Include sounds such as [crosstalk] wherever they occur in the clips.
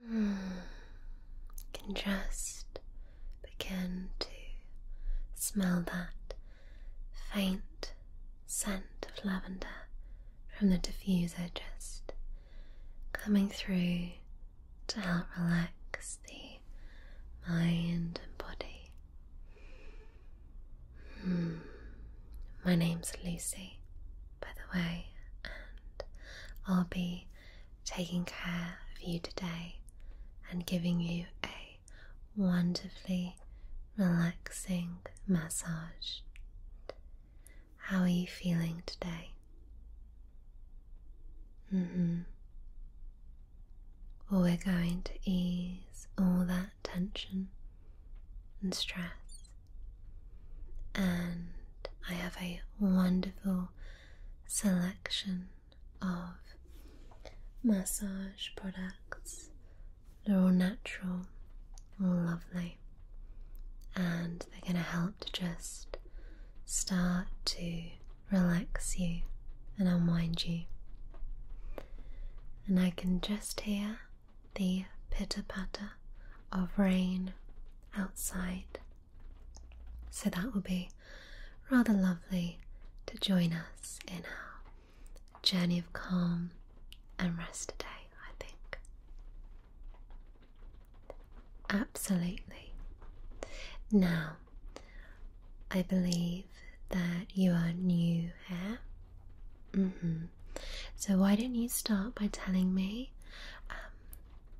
[sighs] Can just begin to smell that faint scent of lavender from the diffuser just coming through to help relax the mind and body. Hmm. My name's Lucy, by the way, and I'll be taking care of you today and giving you a wonderfully relaxing massage. How are you feeling today? Mm -hmm. we're going to ease all that tension and stress and I have a wonderful selection of massage products. They're all natural, all lovely, and they're going to help to just start to relax you and unwind you. And I can just hear the pitter patter of rain outside so that will be rather lovely to join us in our journey of calm and rest today, I think. Absolutely. Now, I believe that you are new here. Mm-hmm. So, why don't you start by telling me um,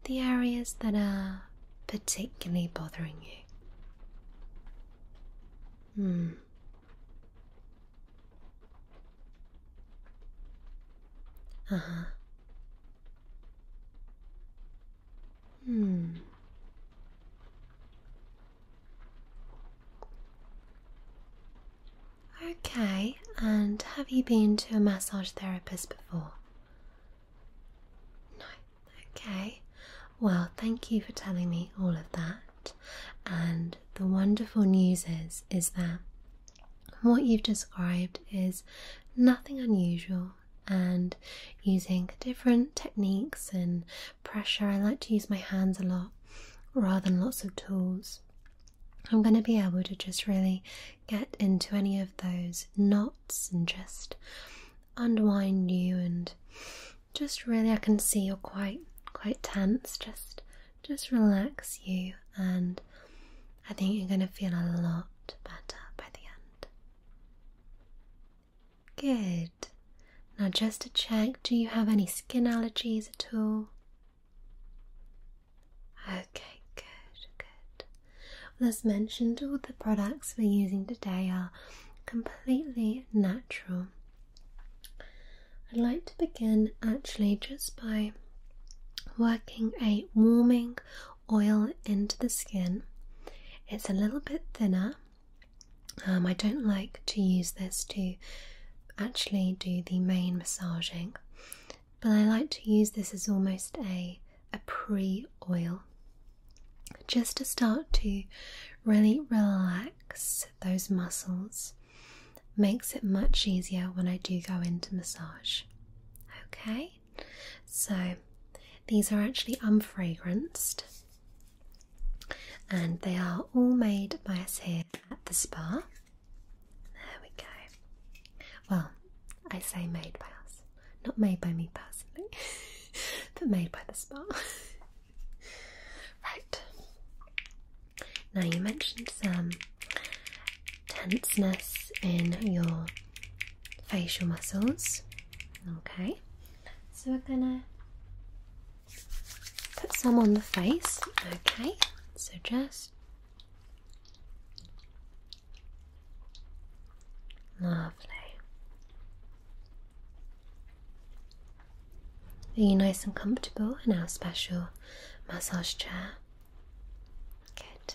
the areas that are particularly bothering you. Hmm. Uh huh. Hmm. Okay, and have you been to a massage therapist before? No. Okay. Well, thank you for telling me all of that. And the wonderful news is is that what you've described is nothing unusual and using different techniques and pressure. I like to use my hands a lot rather than lots of tools. I'm going to be able to just really get into any of those knots and just unwind you and just really I can see you're quite quite tense just just relax you and I think you're going to feel a lot better by the end. Good. Now just to check do you have any skin allergies at all? Okay, good, good. Well, as mentioned, all the products we're using today are completely natural. I'd like to begin actually just by working a warming oil into the skin. It's a little bit thinner. Um, I don't like to use this to actually do the main massaging but I like to use this as almost a, a pre oil just to start to really relax those muscles. Makes it much easier when I do go into massage. Okay, so these are actually unfragranced and they are all made by us here at the spa. There we go. Well, I say made by us. Not made by me personally, [laughs] but made by the spa. [laughs] right. Now, you mentioned some tenseness in your facial muscles. Okay. So, we're gonna put some on the face. Okay. So, just Lovely. Are you nice and comfortable in our special massage chair? Good.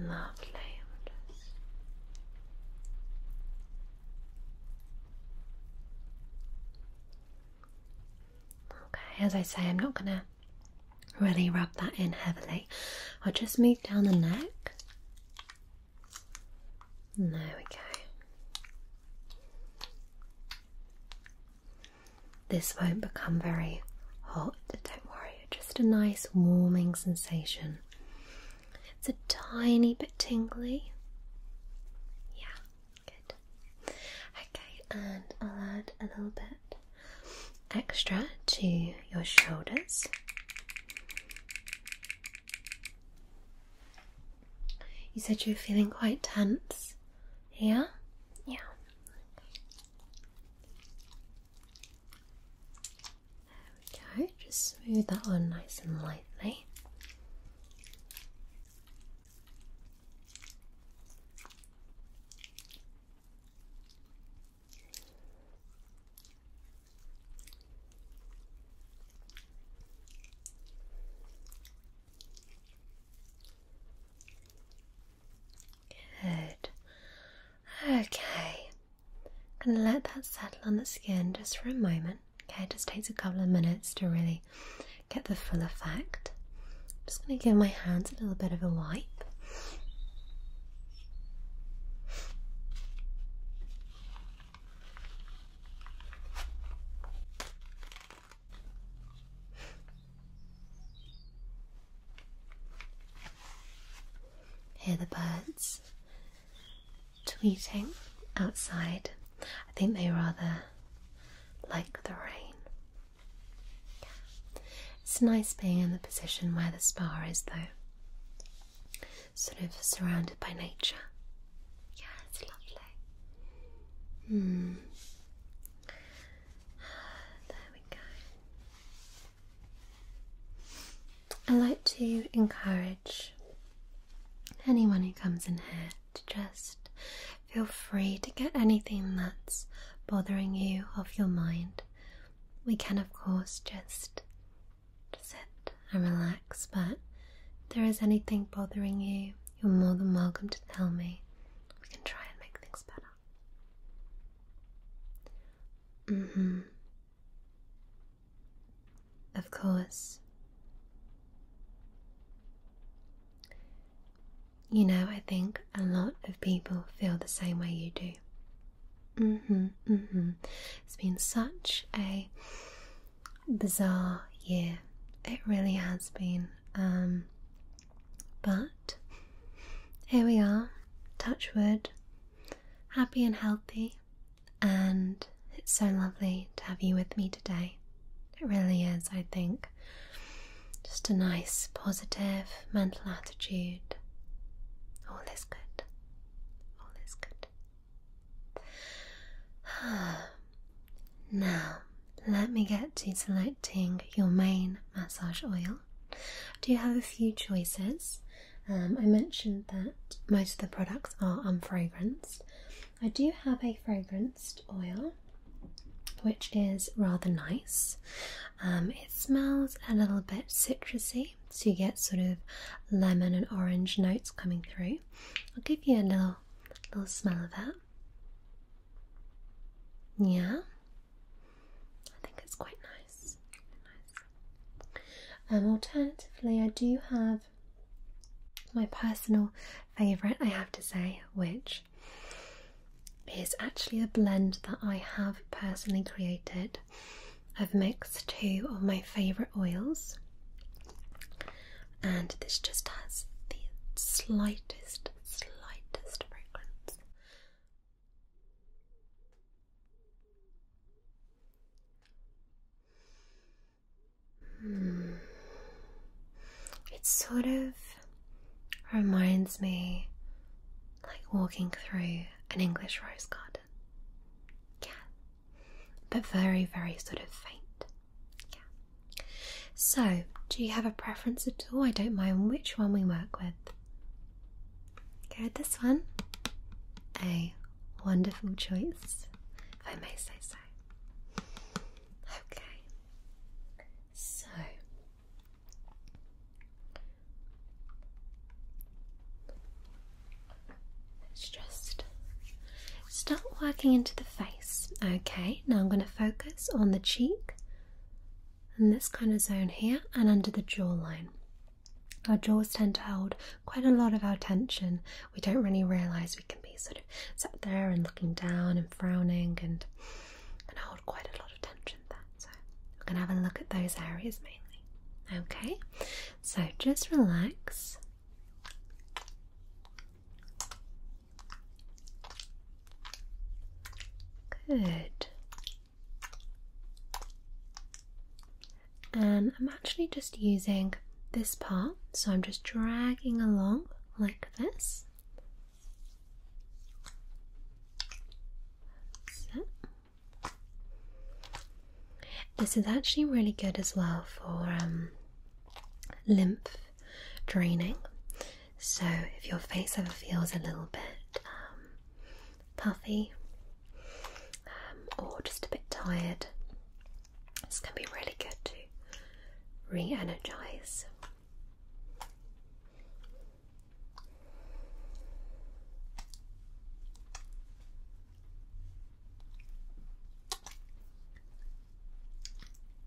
Lovely. Okay, as I say, I'm not gonna really rub that in heavily. I'll just move down the neck. And there we go. This won't become very hot, don't worry, just a nice warming sensation. It's a tiny bit tingly. Yeah, good. Okay, and I'll add a little bit extra to your shoulders. You said you are feeling quite tense. Yeah? Yeah. There we go, just smooth that on nice and lightly. Good. Okay. i going to let that settle on the skin just for a moment. Okay, it just takes a couple of minutes to really get the full effect. I'm just going to give my hands a little bit of a wipe. Hear the birds tweeting outside. I think they rather like the rain. It's nice being in the position where the spa is, though, sort of surrounded by nature. Yeah, it's lovely. Hmm. There we go. I like to encourage anyone who comes in here to just feel free to get anything that's bothering you off your mind. We can, of course, just sit and relax, but if there is anything bothering you, you're more than welcome to tell me. We can try and make things better. Mm hmm. Of course. You know, I think a lot of people feel the same way you do. Mm hmm, mm hmm. It's been such a bizarre year. It really has been. Um, but here we are, Touchwood, happy and healthy, and it's so lovely to have you with me today. It really is, I think. Just a nice, positive mental attitude. All is good. All is good. [sighs] now, let me get to selecting your main massage oil. I do have a few choices. Um, I mentioned that most of the products are unfragranced. I do have a fragranced oil which is rather nice. Um, it smells a little bit citrusy, so you get sort of lemon and orange notes coming through. I'll give you a little little smell of that. Yeah, I think it's quite nice. Um, alternatively, I do have my personal favourite, I have to say, which is actually a blend that I have personally created. I've mixed two of my favourite oils, and this just has the slightest, slightest fragrance Hmm. It sort of reminds me like walking through an English rose garden. Yeah. But very, very sort of faint. Yeah. So, do you have a preference at all? I don't mind which one we work with. Go this one. A wonderful choice, if I may say so. Okay. So, let's just start working into the face. Okay, now I'm going to focus on the cheek in this kind of zone here and under the jawline. Our jaws tend to hold quite a lot of our tension. We don't really realize we can be sort of sat there and looking down and frowning and and hold quite a lot of tension there. So we're gonna have a look at those areas mainly. Okay, so just relax. Good. And I'm actually just using this part, so I'm just dragging along like this. This is actually really good as well for um, lymph draining. So if your face ever feels a little bit um, puffy um, or just a bit tired, it's going to be really good to re energize.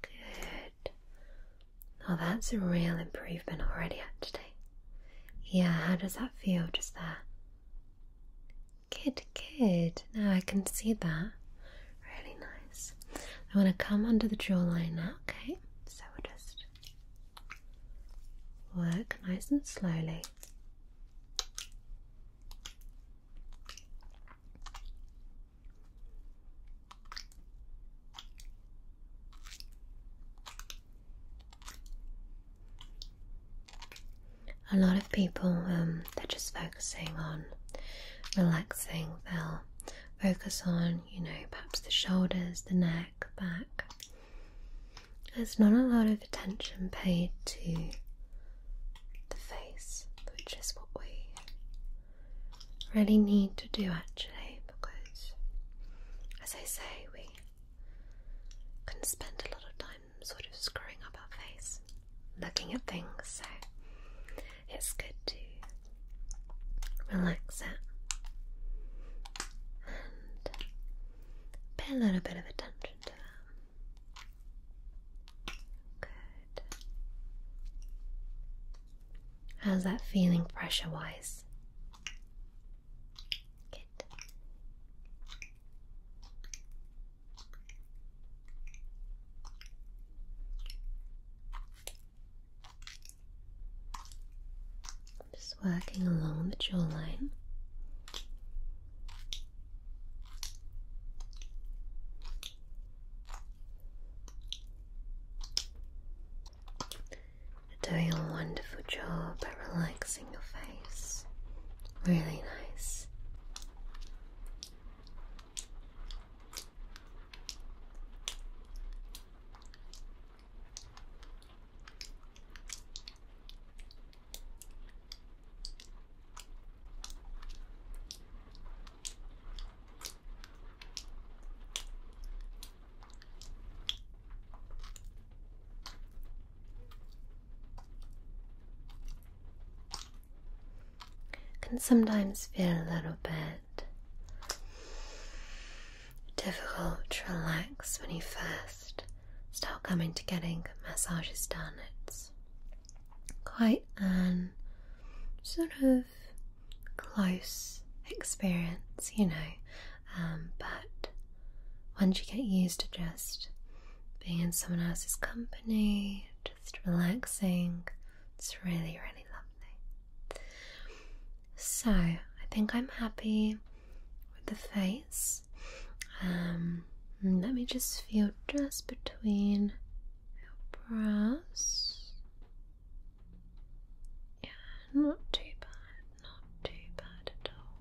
Good. Now oh, that's a real improvement already, today. Yeah, how does that feel just there? Good, good. Now I can see that. Really nice. I want to come under the jawline now, okay? So we'll just Work nice and slowly. A lot of people, um, they're just focusing on relaxing. They'll focus on you know, perhaps the shoulders, the neck, back. There's not a lot of attention paid to the face, which is what we really need to do actually, because as I say, we can spend a lot of time sort of screwing up our face, looking at things, so it's good to relax it, and pay a little bit of attention to that. Good. How's that feeling pressure wise? Good. Just working along the jawline. doing a wonderful job at relaxing your face. Really nice. Can sometimes feel a little bit difficult to relax when you first start coming to getting massages done. It's quite a sort of close experience, you know, um, but once you get used to just being in someone else's company, just relaxing, it's really, really lovely. So, I think I'm happy with the face. Um, let me just feel just between your brows. Yeah, not too bad, not too bad at all.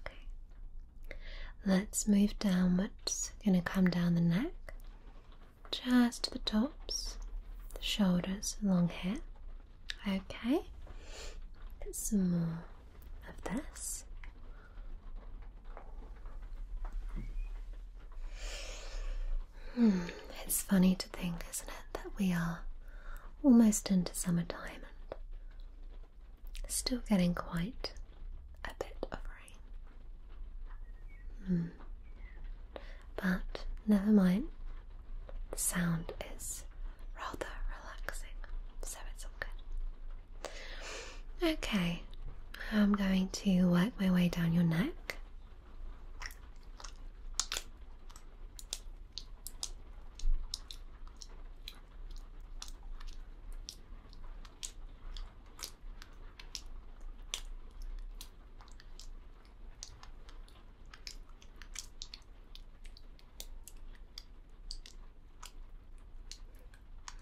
Okay, let's move downwards. we gonna come down the neck just the tops, the shoulders, long hair. Okay, some more of this. Hmm, it's funny to think, isn't it, that we are almost into summertime and still getting quite a bit of rain. Hmm. But never mind, the sound is rather relaxing, so it's all good. Okay, I'm going to work my way down your neck.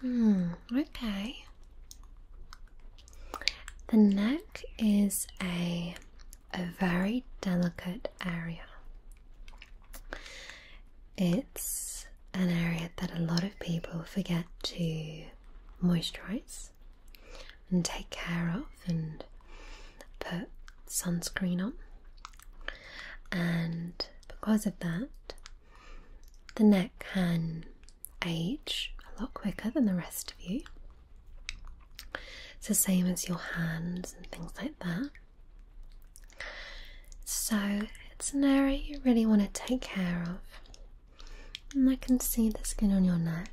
Hmm, okay. The neck is a, a very delicate area. It's an area that a lot of people forget to moisturize and take care of and put sunscreen on. And because of that, the neck can age a lot quicker than the rest of you. It's the same as your hands and things like that. So it's an area you really want to take care of and I can see the skin on your neck.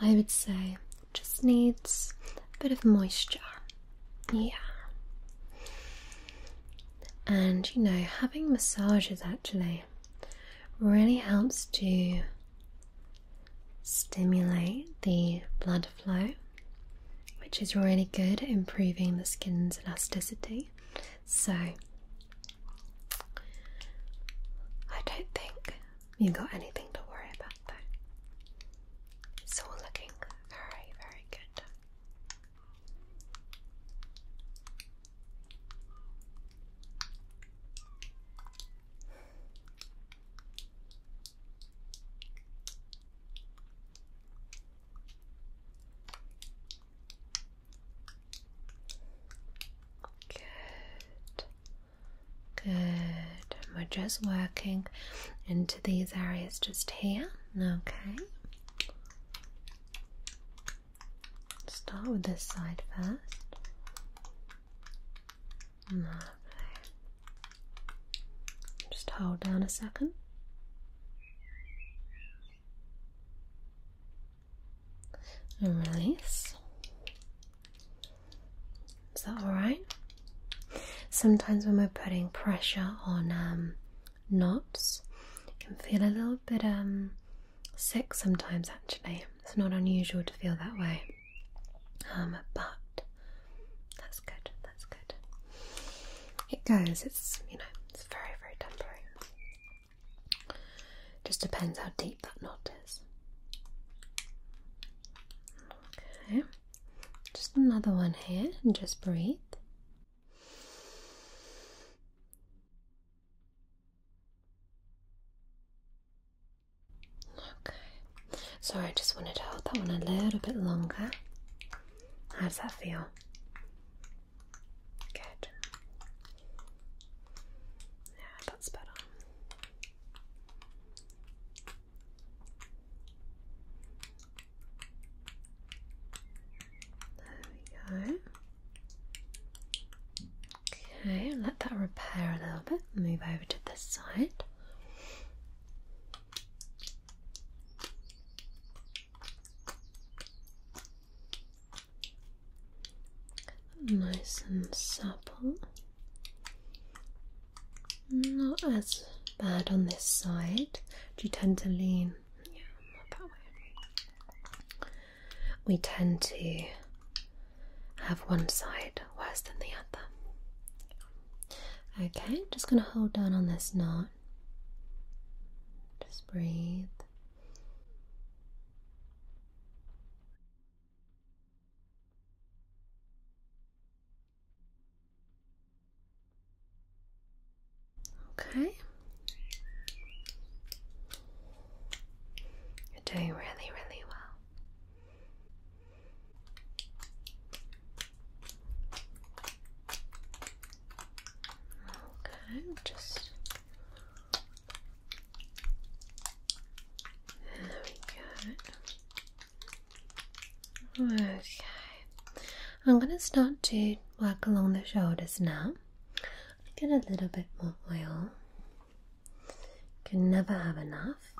I would say just needs a bit of moisture. Yeah. And you know, having massages actually really helps to stimulate the blood flow, which is really good at improving the skin's elasticity. So, I don't think you got anything to worry about though. It's all looking very, very good. Good. Good. we're just working into these areas just here. Okay. Start with this side first. Lovely. Just hold down a second and release. Is that alright? Sometimes when we're putting pressure on um, knots, you can feel a little bit um, sick sometimes actually. It's not unusual to feel that way. Um, but that's good, that's good. It goes, it's, you know, it's very, very temporary. Just depends how deep that knot is. Okay, just another one here and just breathe. Okay, sorry, I just wanted to hold that one a little bit longer. How does that feel? Good. Yeah, that's better. There we go. Okay, let that repair a little bit. Move over to this side nice and supple. Not as bad on this side. Do you tend to lean? Yeah, that way. We tend to have one side worse than the other. Okay, just going to hold down on this knot. Just breathe. Okay. You're doing really, really well. Okay, just there we go. Okay. I'm going to start to work along the shoulders now. Get a little bit more oil. Can never have enough.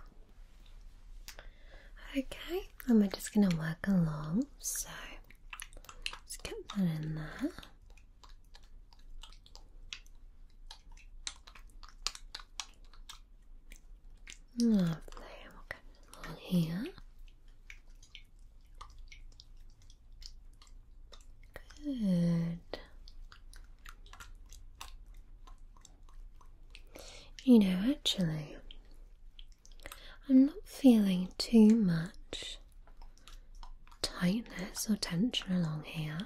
Okay, and we're just going to work along. So, let get that in there. Lovely. here. Good. You know, actually, I'm not feeling too much tightness or tension along here?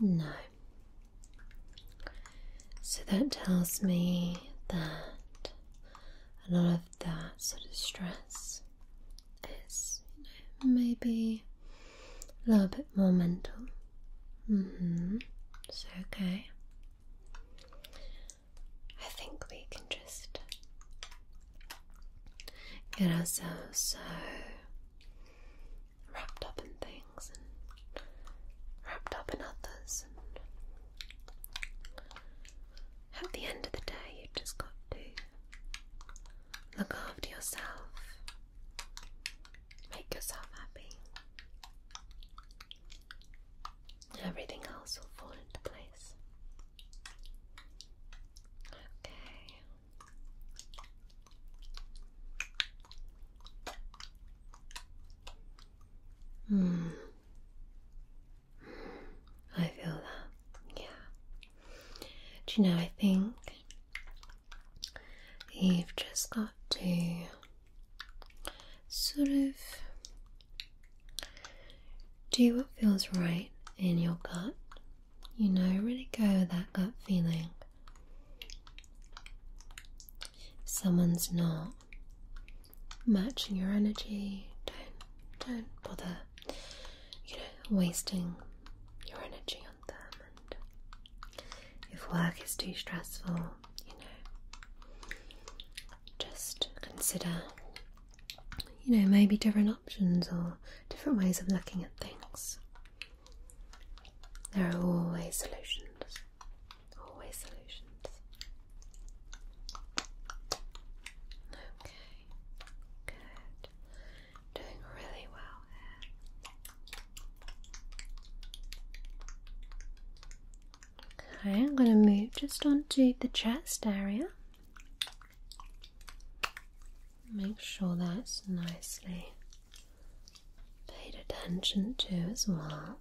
No. So that tells me that a lot of that sort of stress is maybe a little bit more mental. Mm-hmm. So okay. I think we can just get ourselves uh, so wrapped up in things and wrapped up in others and at the end of the day you just got to look after yourself make yourself happy everything else will fall into place Okay. Hmm. I feel that. Yeah. Do you know, I think you've just got to sort of do what feels right in your gut you know, really go with that gut feeling. If someone's not matching your energy, don't don't bother, you know, wasting your energy on them. And if work is too stressful, you know, just consider you know, maybe different options or different ways of looking at things. There are always solutions. Always solutions. Okay, good. Doing really well I'm going to move just onto the chest area. Make sure that's nicely paid attention to as well.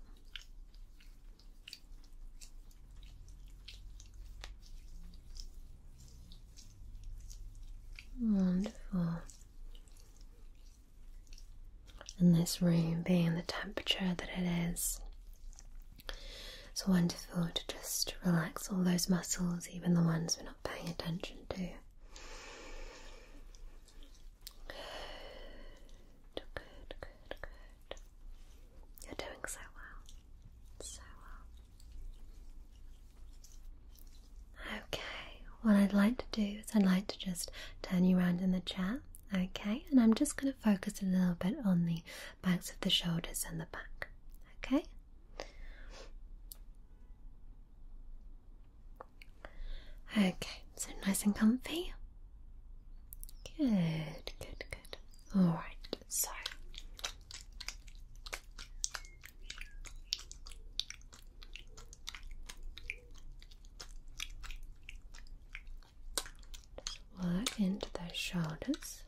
Wonderful. And this room being the temperature that it is, it's wonderful to just relax all those muscles, even the ones we're not paying attention to. Good, good, good, good. You're doing so well. So well. Okay, what I'd like to do is I'd like to just turn you around in the chair. Okay, and I'm just going to focus a little bit on the backs of the shoulders and the back. Okay? Okay, so nice and comfy. Good, good, good. Alright, so just work into those shoulders.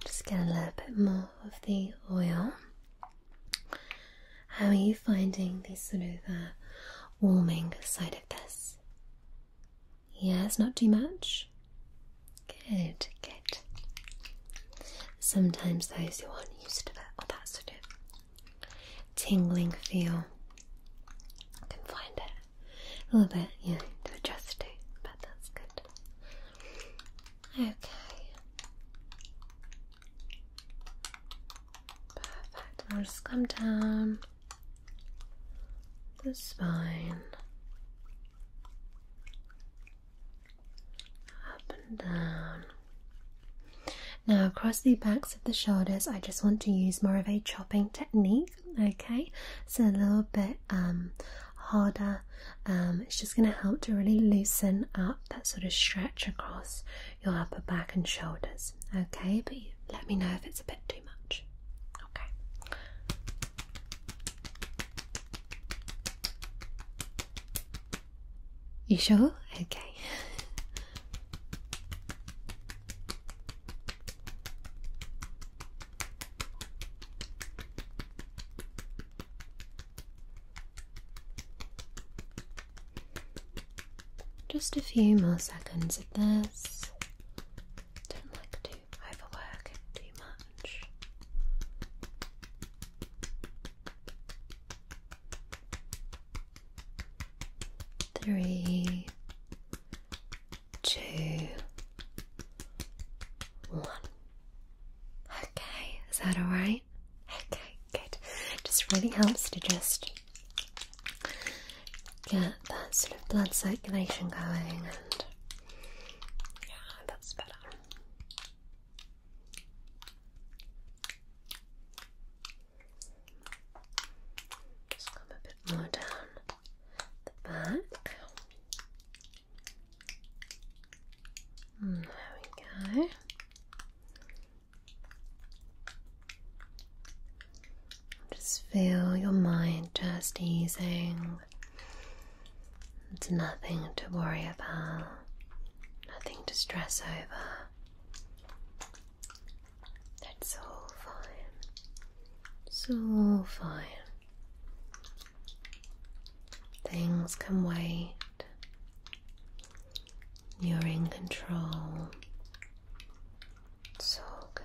Just get a little bit more of the oil. How are you finding this sort of uh, warming side of this? Yes, not too much. Good, good. Sometimes those who aren't used to it or that sort of tingling feel can find it a little bit, yeah, to adjust it, but that's good. Okay. Perfect. I'll just come down the spine. Up and down. Now across the back of the shoulders, I just want to use more of a chopping technique, okay? So a little bit um, harder. Um, it's just going to help to really loosen up that sort of stretch across your upper back and shoulders, okay? But let me know if it's a bit too much, okay? You sure? Okay. [laughs] Just a few more seconds of this. Don't like to overwork too much. Three, two, one. Okay, is that alright? Okay, good. Just really helps to just get that sort of blood circulation going and yeah, that's better. Just come a bit more down the back. Mm, there we go. Just feel your mind just easing. It's nothing to worry about, nothing to stress over. That's all fine. So fine. Things can wait. You're in control. So good.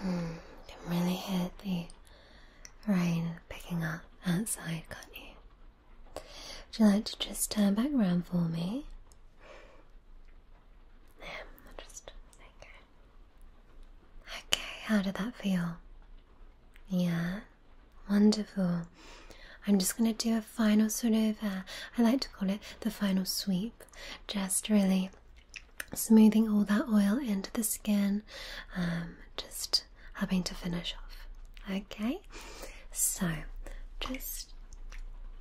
Hmm, you really hear the rain picking up outside, can't you? Would you like to just turn back around for me? i just okay. Okay, how did that feel? Yeah, wonderful. I'm just gonna do a final sort of, uh, I like to call it the final sweep, just really smoothing all that oil into the skin, um, just having to finish off. Okay, so just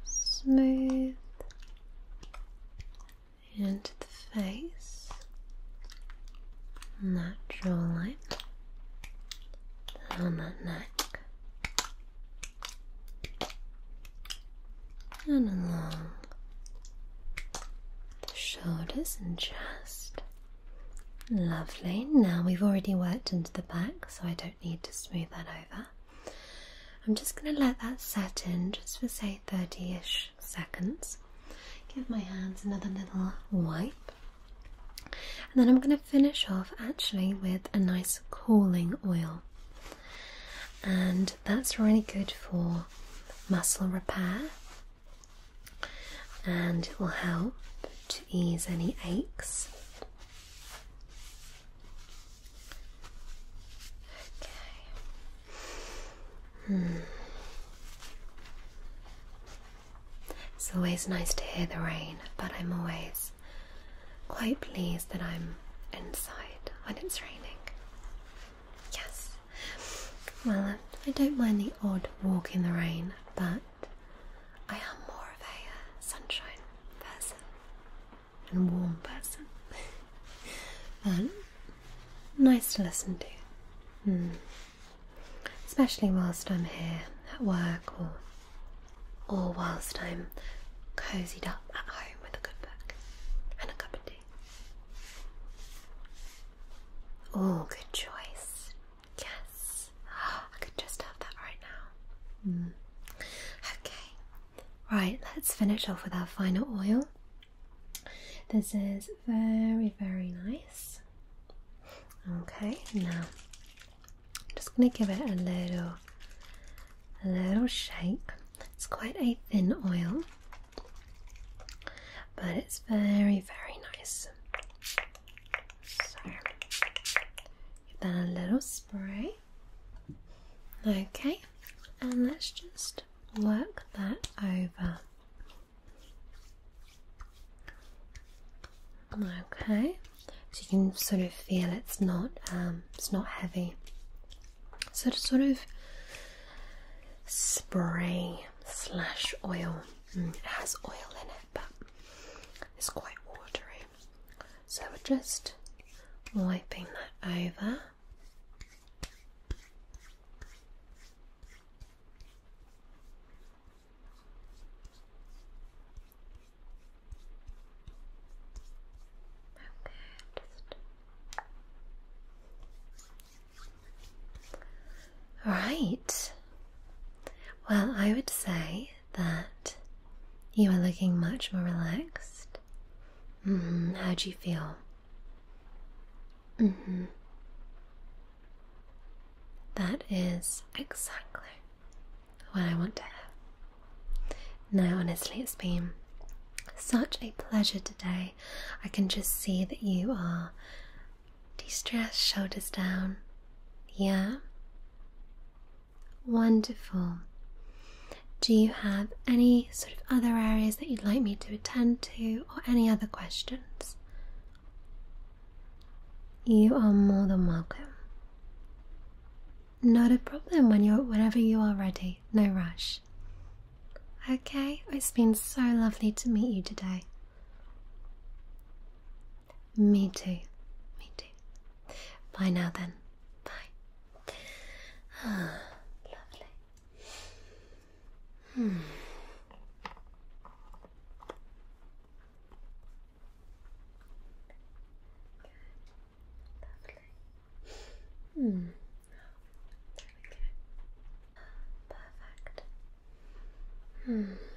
smooth into the face, natural light down that neck and along the shoulders and chest. Lovely. Now we've already worked into the back, so I don't need to smooth that over. I'm just going to let that set in just for say 30 ish seconds. Give my hands another little wipe. And then I'm going to finish off actually with a nice cooling oil. And that's really good for muscle repair and it will help to ease any aches. It's always nice to hear the rain, but I'm always quite pleased that I'm inside when it's raining. Yes. Well, uh, I don't mind the odd walk in the rain, but I am more of a uh, sunshine person and warm person. but [laughs] nice to listen to. Hmm. Especially whilst I'm here at work or or whilst I'm cozied up at home with a good book and a cup of tea. Oh, good choice. Yes. [gasps] I could just have that right now. Hmm. Okay, Right, let's finish off with our final oil. This is very, very nice. Okay, now just going to give it a little, little shake. It's quite a thin oil, but it's very, very nice. give that a little spray. Okay, and let's just work that over. Okay, so you can sort of feel it's not um, it's not heavy. So to sort of spray slash oil. Mm, it has oil in it, but it's quite watery. So we're just wiping that over. Okay, just... Well, I would say that you are looking much more relaxed. Mm-hmm. How do you feel? Mm-hmm. That is exactly what I want to have. Now, honestly, it's been such a pleasure today. I can just see that you are de stressed, shoulders down. Yeah. Wonderful. Do you have any sort of other areas that you'd like me to attend to, or any other questions? You are more than welcome. Not a problem when you whenever you are ready, no rush. Okay, it's been so lovely to meet you today. Me too, me too. Bye now then. Bye. [sighs] lovely. Hmm. Good. Lovely. Hmm. There we go. Perfect. Hmm.